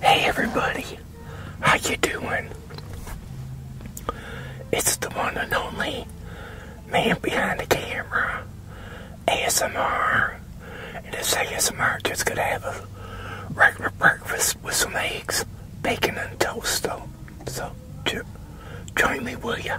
Hey everybody, how you doing? It's the one and only man behind the camera, ASMR. And this ASMR just gonna have a regular breakfast with some eggs, bacon and toast though. So join me will ya?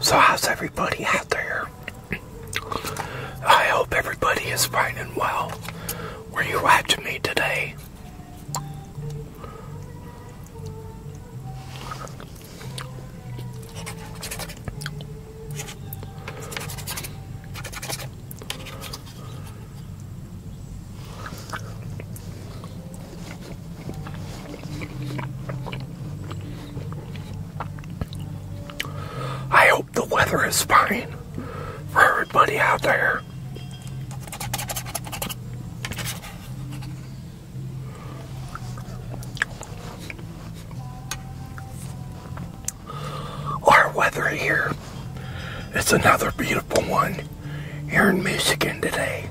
So how's everybody out there? I hope everybody is fine and well where you at watching me today. I hope the weather is fine for everybody out there our weather here. It's another beautiful one here in Michigan today.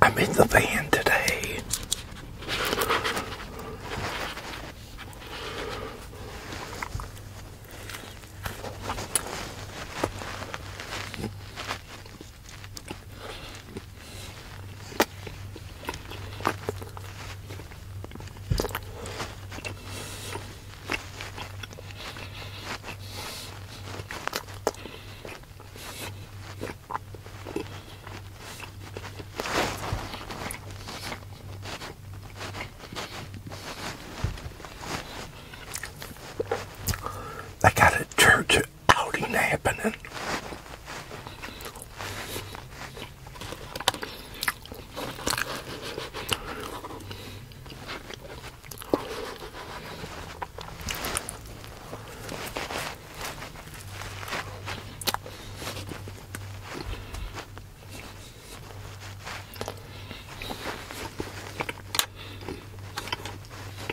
I'm in the van today. I got a church how did outing happen?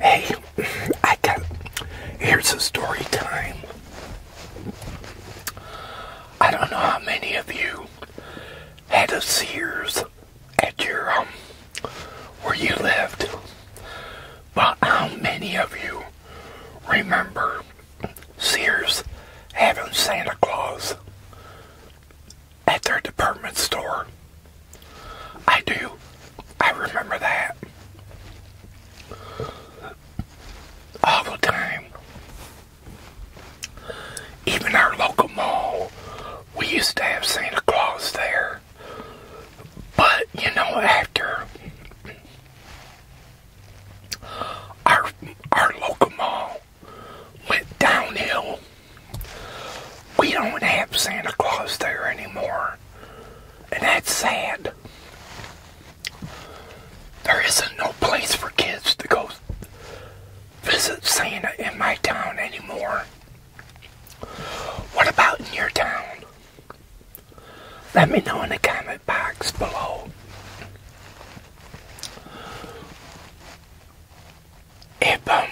Hey, I got here's a story time. I don't know how many of you had a Sears at your um where you lived. But how many of you remember Sears having Santa Claus at their department store? I do. I remember that. All the time. Even our local mall we used to have Santa Claus there. But, you know, after our, our local mall went downhill, we don't have Santa Claus there anymore. And that's sad. There isn't no place for kids to go visit Santa in my town anymore. What about in your town? Let me know in the comment box below. If um,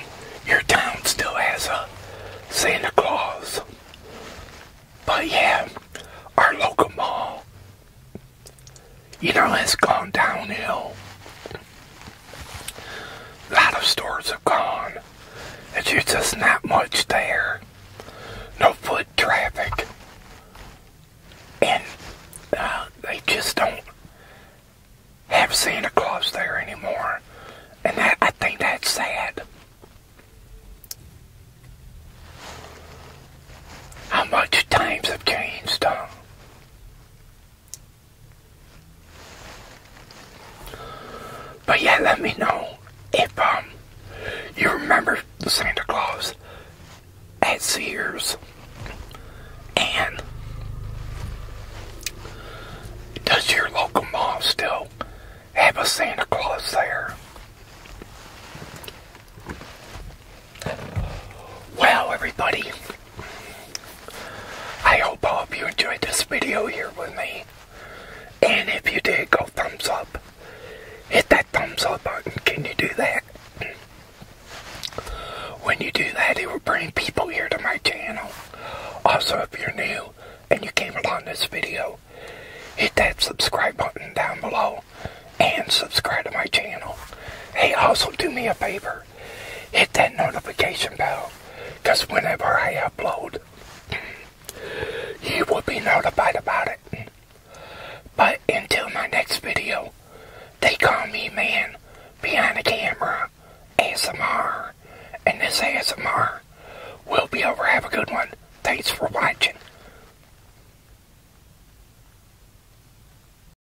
your town still has a Santa Claus. But yeah, our local mall, you know, has gone downhill. A lot of stores have gone. And there's just not much there. No foot traffic. And uh, they just don't have Santa Claus there anymore. And that, I think that's sad. How much times have changed, huh? But yeah, let me know if um you remember the Santa Claus at Sears and does your local mall still have a Santa Claus there? Wow, everybody. I hope all of you enjoyed this video here with me. And if you did, go thumbs up. Hit that thumbs up button. Can you do that? When you do that, it will bring people here to my channel. Also, if you're new and you came along this video, hit that subscribe button down below and subscribe to my channel. Hey, also do me a favor hit that notification bell because whenever I upload, you will be notified about it. But until my next video, they call me man behind the camera, ASMR, and this ASMR will be over. Have a good one. Thanks for watching.